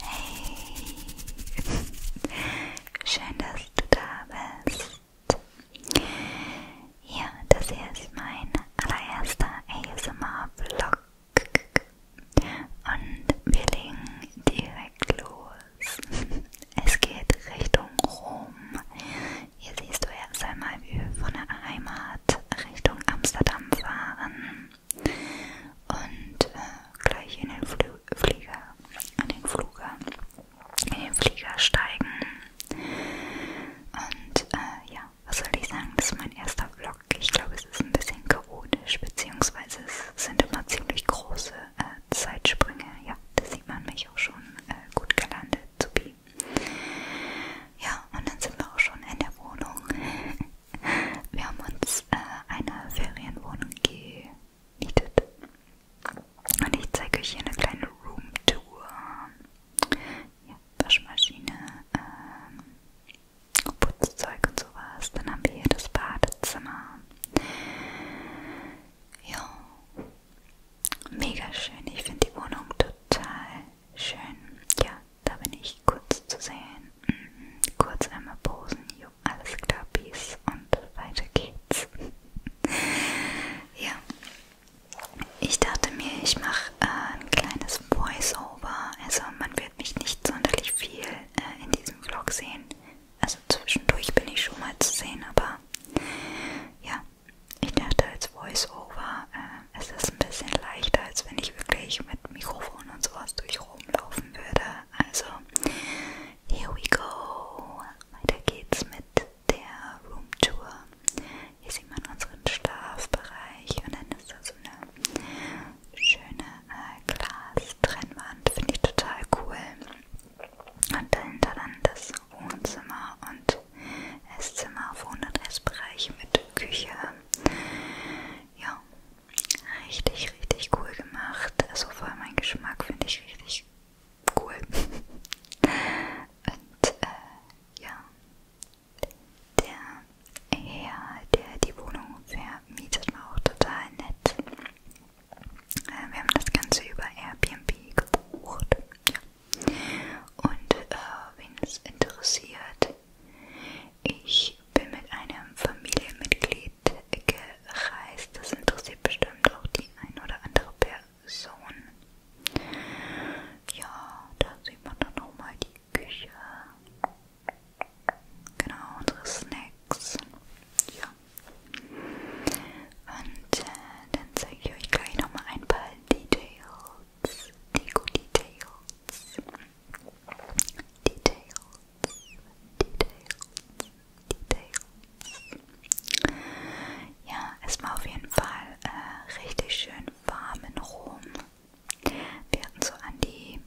Hey, schön, dass du da bist. Ja, das hier ist mein allererster ASMR-Vlog und wir legen direkt los. Es geht Richtung Rom. Hier siehst du erst einmal, wie wir von der Heimat Richtung Amsterdam fahren und äh, gleich in den Fl Flieger, an den Flugern, in den Flieger steigen. Und äh, ja, was soll ich sagen? Das ist mein erster Vlog. Ich glaube, es ist ein bisschen chaotisch, beziehungsweise es sind immer ziemlich große äh, Zeitsprünge. Ja, das sieht man mich auch schon äh, gut gelandet zu bieten. Ja, und dann sind wir auch schon in der Wohnung. Wir haben uns äh, eine Ferienwohnung gemietet. Und ich zeige euch hier eine kleine Roomtour. Ja, Waschmaschine, ähm, Putzzeug und sowas. Dann haben wir hier das Badezimmer. Ja, mega schön. Ich finde die Wohnung total schön. Ja, da bin ich kurz zu sehen. Mhm. Kurz einmal posen, jo, alles klar, Peace und weiter geht's. ja, ich dachte mir, ich mache äh, ein kleines Voice-Over, also man wird mich nicht sonderlich viel äh, in diesem Vlog sehen. Also zwischendurch bin ich schon mal zu sehen, aber ja, ich dachte als Voice-Over äh, es ist ein bisschen leichter, als wenn ich wirklich mit Mikrofon und sowas durch rumlaufen würde. Also, here we go. Weiter geht's mit der Room Tour. Hier sieht man unseren Schlafbereich und dann ist da so eine schöne äh, Glastrennwand. Finde ich total cool. Und dahinter dann das Wohnzimmer und Esszimmer, Wohn- und Essbereich mit Küche. Ja, Richtig, richtig cool gemacht. Also vor allem mein Geschmack finde ich richtig cool. Und äh, ja, der Herr, der die Wohnung vermietet, war auch total nett. Äh, wir haben das Ganze über Airbnb gebucht. Ja. Und äh, wen es interessiert, ich bin mit einem Familienmitglied gereist. Das interessiert bestimmt auch die ein oder andere Person. Ja, da sieht man dann nochmal die Küche. Genau, unsere Snacks. Ja. Und äh, dann zeige ich euch gleich nochmal ein paar Details. Deko-Details. Details, Details, Details. Ja, es war auf jeden Fall äh, richtig schön warm in Rom. Wir hatten so an die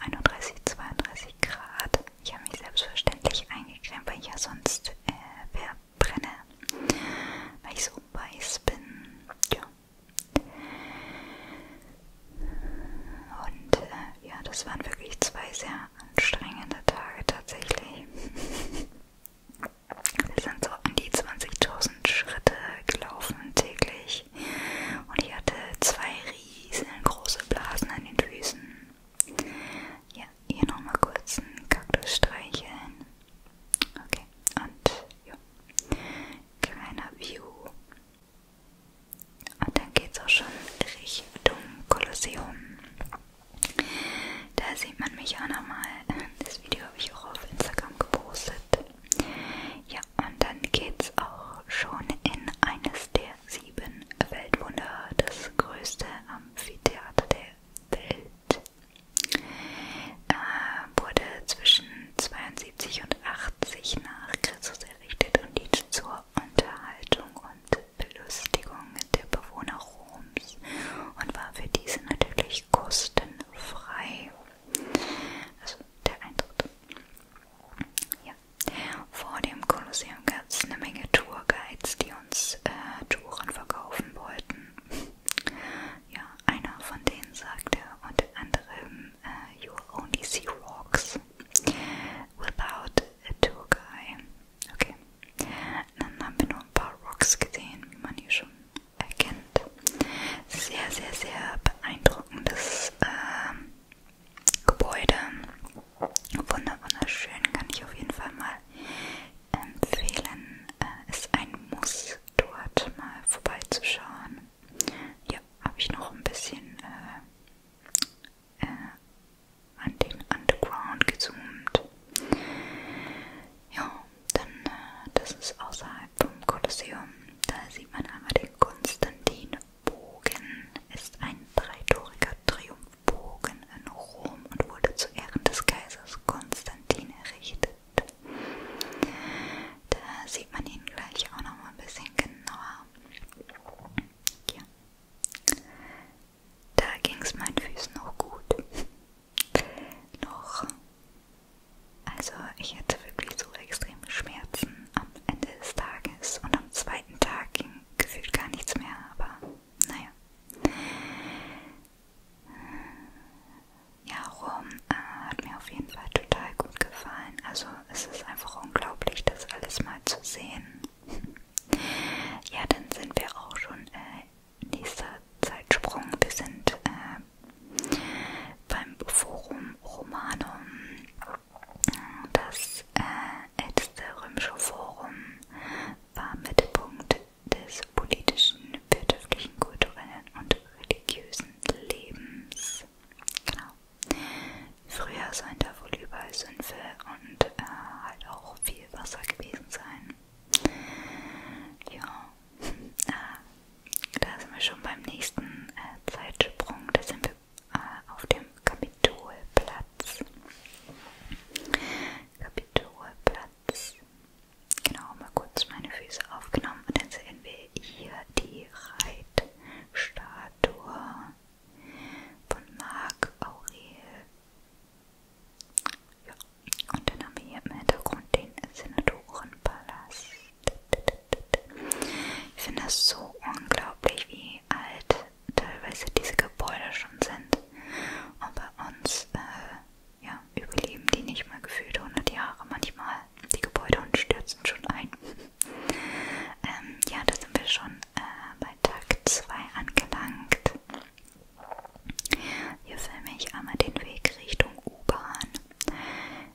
31, 32 Grad. Ich habe mich selbstverständlich eingeklemmt, weil ich ja sonst äh, verbrenne, weil ich so weiß bin. Ja. Und äh, ja, das waren wirklich zwei sehr anstrengende Tage tatsächlich. Wir sind so an die 20.000 Schritte gelaufen täglich. Und ich hatte zwei riesengroße Blasen an den Füßen. Ja, hier nochmal kurz einen Kaktus streicheln. Okay, und ja kleiner View. Und dann geht's auch schon Richtung Kolosseum. Da sieht man mich auch nochmal. Das Video habe ich auch auf Instagram gepostet. Ja, und dann geht's auch schon in eines der sieben Weltwunder, das größte Amphitheater der Welt. Äh, wurde zwischen 72 und 80 nach Christus errichtet und diente zur Unterhaltung und Belustigung der Bewohner Roms und war für diese natürlich kostenfrei. Also der Eintritt. Ja. Vor dem Kolosseum gab es eine Menge Tourguides, die uns äh, Touren verkaufen wollten. Ja, einer von denen sagte unter anderem, uh, you will only see rocks without a tour guy. Okay. Dann haben wir nur ein paar Rocks gesehen, wie man hier schon erkennt. Sehr, sehr, sehr beeindruckendes ähm, Gebäude. Wunder, wunderschön, kann ich auf jeden Fall mal empfehlen. Äh, ist ein Muss, dort mal vorbeizuschauen ja, habe ich noch ein bisschen äh, äh, an den Underground gezoomt. Ja, dann, äh, das ist außerhalb vom Kolosseum. Da sieht man einmal den Konstantinbogen. Ist ein dreitouriger Triumphbogen in Rom und wurde zu Ehren des Kaisers Konstantin errichtet. Da sieht man ihn gleich auch noch mal ein bisschen genauer. Ja. Da ging es meinen Füßen noch gut. noch. Also ich hatte wirklich so extreme Schmerzen am Ende des Tages und am zweiten Tag ging gefühlt gar nichts mehr, aber naja ja, Rom äh, hat mir auf jeden Fall total gut gefallen. Also es ist einfach unglaublich, das alles mal zu sehen. ja, dann sind wir auch schon äh, nächster Zeitsprung. Wir sind äh, beim Forum Romanum, das äh, älteste römische Forum war Mittelpunkt des des politischen, wirtschaftlichen, kulturellen und religiösen Lebens. Genau. Früher sollen da wohl überall Sümpfe und äh, halt auch viel Wasser gewesen sein. Ja, äh, da sind wir schon beim nächsten äh, Zeitsprung. Da sind wir äh, auf dem Kapitolplatz. Kapitolplatz. Platz. Genau, mal kurz meine Füße aufgenommen und dann sehen wir hier die Reitstatue von Marc Aurel. Ja, und dann haben wir hier im Hintergrund den Senatorenpalast. Ich finde das so unglaublich, wie alt teilweise diese Gebäude schon sind. Und bei uns äh, ja, überleben die nicht mal gefühlt 100 Jahre manchmal, die Gebäude und stürzen schon ein. ähm, ja, da sind wir schon äh, bei Tag 2 angelangt. Hier filme ich einmal den Weg Richtung U-Bahn.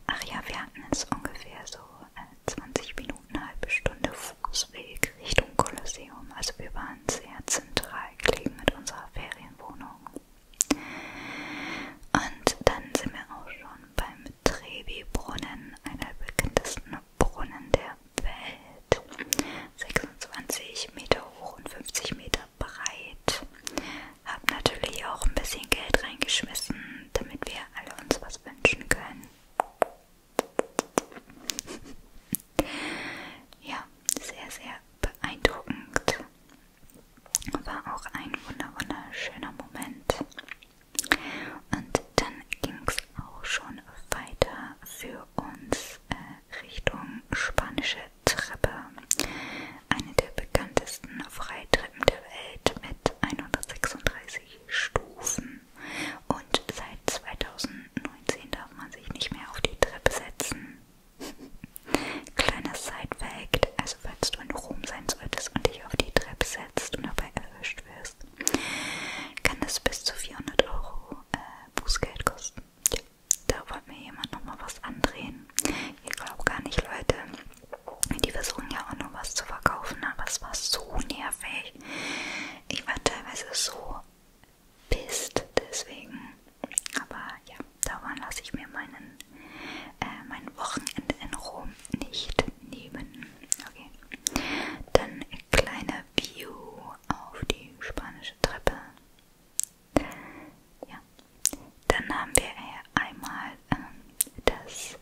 Ach ja, wir hatten es ungefähr so äh, 20 Minuten, eine halbe Stunde Fußweg Richtung Kolosseum. Also wir waren sehr zentral gelegen mit unserer Ferienwohnung. Und dann sind wir auch schon beim Trevi-Brunnen, einer der bekanntesten Brunnen der Welt. 26 Meter hoch und 50 Meter breit. Hab natürlich auch ein bisschen Geld reingeschmissen, damit wir alle uns was wünschen können. Ja, sehr, sehr beeindruckend. War auch ein wunder wunderschöner Moment. Und dann ging es auch schon weiter für uns äh, Richtung spanische Treppe. Eine der bekanntesten Freitreppen der Welt mit 136 Stufen. Und seit 2019 darf man sich nicht mehr auf die Treppe setzen. Kleiner Sidefact, also falls du in Rom sein solltest und dich auf die Treppe setzt und dabei erwischt wirst, kann das bis zu 400 Euro äh, Bußgeld kosten. Ja, da wollte mir jemand nochmal was andrehen. Ihr glaubt gar nicht, Leute. Die versuchen ja auch noch was zu verkaufen, aber es war so nervig. Ich war teilweise so pisst deswegen. Aber ja, dauernd lasse ich mir meinen, äh, mein Wochenende in Rom nicht nehmen. Okay. Dann ein kleiner View auf die spanische Treppe. Ja. Dann haben wir hier äh, einmal ähm, das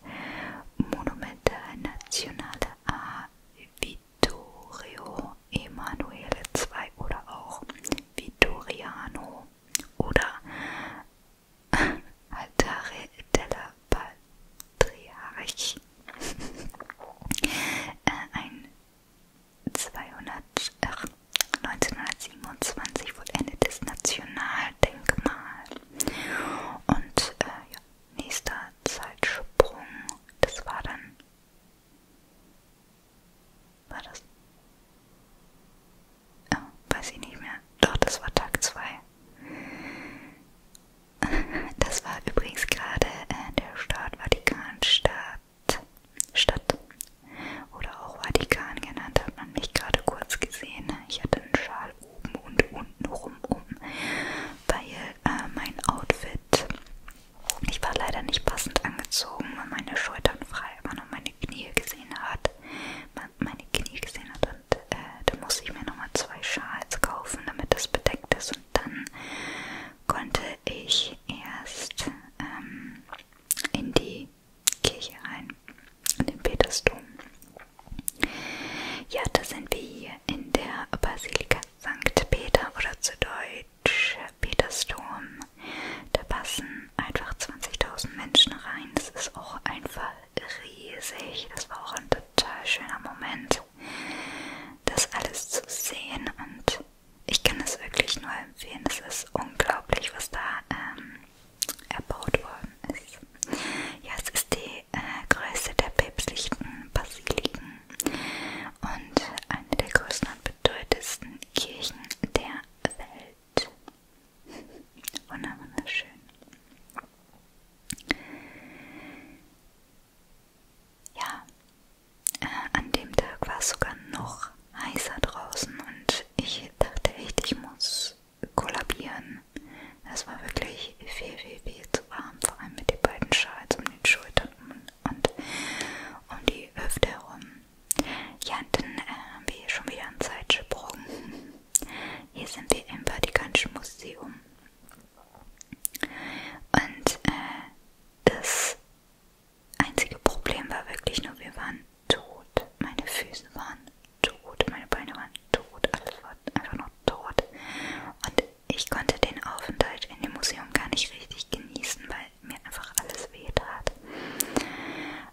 Monument Nationale a Vittorio Emanuele II oder auch Vittoriano Castro oder Altare della Patriarch äh, ein 200, ach, 1927 vollendetes Nationaldenkmal und äh, ja, nächster Zeitsprung, das war dann war das? Oh, weiß ich nicht mehr. Doch, das war Tag 2. Das war übrigens gerade äh, der Staat Vatikanstadt. Stadt. Oder auch Vatikan genannt, hat man mich gerade kurz gesehen. Ne? Ich hatte einen Schal oben und unten rum um, weil äh, mein Outfit ich war leider nicht passend angezogen, weil meine Schultern frei waren und meine Knie gesehen hat. Meine Knie gesehen hat und äh, da musste ich mir nochmal zwei Schals kaufen, damit das bedeckt ist. Und dann konnte ich erst ähm, in die Kirche rein, in den Petersdom. Ja, da sind wir hier in der Basilika St. Peter oder zu Deutsch. Peters Dom. Da passen einfach 20.000 Menschen rein. Das ist auch einfach riesig. Das war auch ein total schöner Moment, das alles zu sehen. Und ich kann es wirklich nur empfehlen. Es ist unglaublich, was da ähm, erbaut worden ist. Ja, es ist die äh, größte der päpstlichen Basiliken und eine der größten und bedeutendsten Kirchen der Welt. Wunderschön. Ja, äh, an dem Tag war es sogar noch heißer draußen und ich dachte echt, ich muss kollabieren. Es war wirklich viel, viel, viel zu warm, vor allem mit den beiden Schals um den Schultern und um die Hüfte herum. Ja, dann äh, haben wir hier schon wieder einen Zeitsprung. Hier sind wir im Vatikanischen Museum. Und äh, das einzige Problem war wirklich nur, wir waren tot. Meine Füße waren tot, meine Beine waren tot, alles war einfach nur tot. Und ich konnte den Aufenthalt in dem Museum gar nicht richtig genießen, weil weil mir einfach alles wehtat.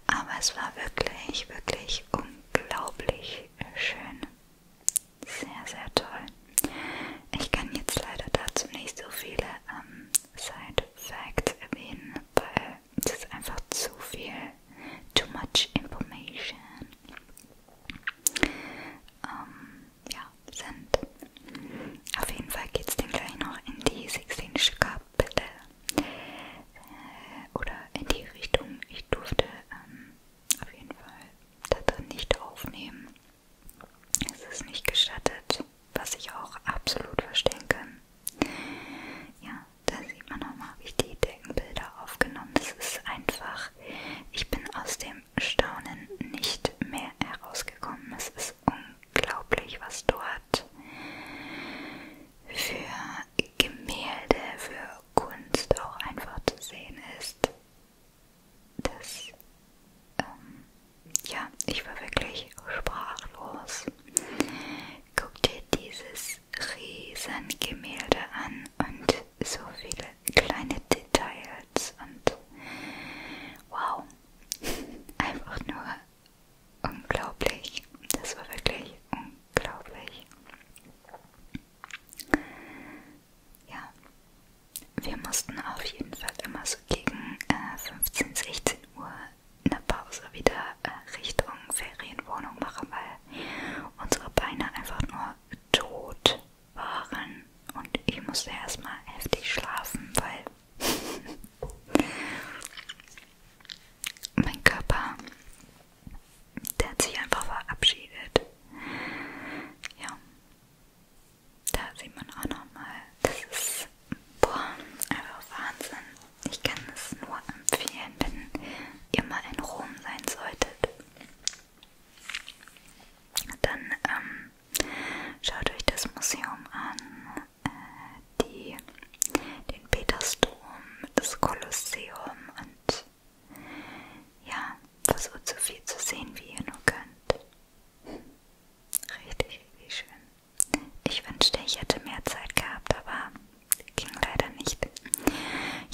Aber es war wirklich, wirklich unglaublich schön. Sehr, sehr toll. Ich kann jetzt leider dazu nicht so viele ähm, Side Facts erwähnen, weil es ist einfach zu viel, too much information. Ähm, ja, sind. Auf jeden Fall geht's dann gleich noch in die Sixtinische Kapelle äh, oder in die Richtung. Ich durfte ähm, auf jeden Fall da drin nicht aufnehmen. Es ist nicht gestattet, was ich auch absolut verstehen kann. Ja, da sieht man nochmal, wie ich die Deckenbilder aufgenommen. Das ist einfach, ich bin aus dem Staunen nicht mehr herausgekommen. Es ist ist unglaublich, was dort für Gemälde, für Kunst auch einfach zu sehen ist. Das, ähm, ja, ich war wirklich sprachlos. Guck dir dieses riesen Gemälde an und so viele kleine Details und wow, einfach nur unglaublich. Das war wirklich unglaublich. Ja, wir mussten auf jeden Fall immer so gegen äh, 15, 16 Uhr eine Pause wieder äh, Richtung Ferienwohnung machen, weil unsere Beine einfach nur tot waren und ich musste erstmal heftig schlafen, weil mein Körper, der hat sich einfach verabschiedet. Ja, da sieht man auch nochmal, das ist boah, einfach Wahnsinn. Ich kann es nur empfehlen, wenn ihr mal in Rom sein solltet. Dann ähm, Schaut euch das Museum an, äh, die, den Petersdom, das Kolosseum und ja, versucht so viel zu sehen, wie ihr nur könnt. Richtig, richtig schön. Ich wünschte, ich hätte mehr Zeit gehabt, aber ging leider nicht.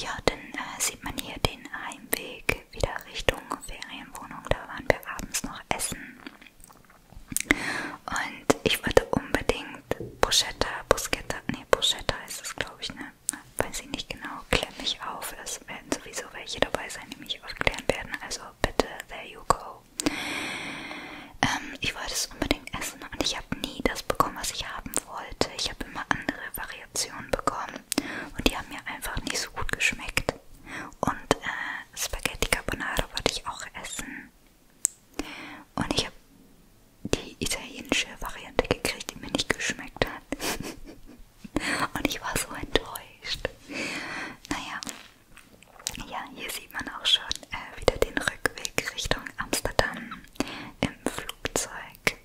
Ja, dann äh, sieht man hier den Heimweg Weg wieder Richtung Ferienwohnung. Da waren wir abends noch essen. Und ich wollte unbedingt Bruschetta, Bruschetta, nee, Bruschetta ist es, glaube ich, ne? Weiß ich nicht genau. Klär mich auf. Es werden sowieso welche dabei sein, die mich aufklären werden. Also bitte, there you go. Ähm, ich wollte es unbedingt essen und ich habe nie das bekommen, was ich haben wollte. Ich habe immer andere Variationen bekommen und die haben mir einfach nicht so gut geschmeckt. Und äh, Spaghetti Carbonara wollte ich auch essen. Und ich habe die italienische Variante gekriegt, die mir nicht geschmeckt hat. Und ich war so enttäuscht. Naja, ja, hier sieht man auch schon äh, wieder den Rückweg Richtung Amsterdam im Flugzeug.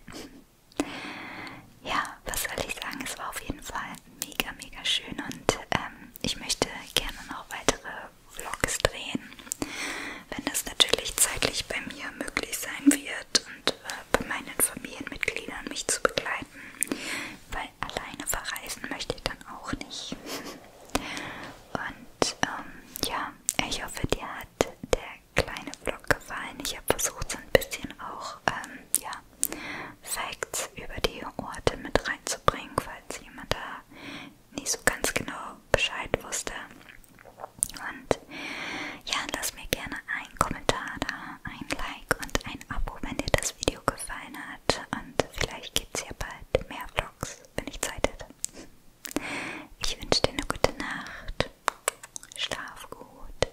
Ja, was soll ich sagen? Es war auf jeden Fall mega, mega schön und ähm, ich möchte gerne noch weitere Vlogs drehen, wenn das natürlich zeitlich bei mir möglich sein wird und äh, bei meinen Familienmitgliedern mich zu begleiten, weil alleine verreisen möchte ich dann auch nicht. Und ähm, ja, ich hoffe, dir hat der kleine Vlog gefallen. Ich habe versucht, so ein bisschen auch ähm, ja, Facts über die Orte mit reinzubringen, falls jemand da nicht so ganz genau Bescheid wusste. Und ja, lasst mir gerne einen Kommentar da, ein Like und ein Abo, wenn dir das Video gefallen hat. Und vielleicht gibt es ja bald mehr Vlogs, wenn ich Zeit hätte. Ich wünsche dir eine gute Nacht. Schlaf gut.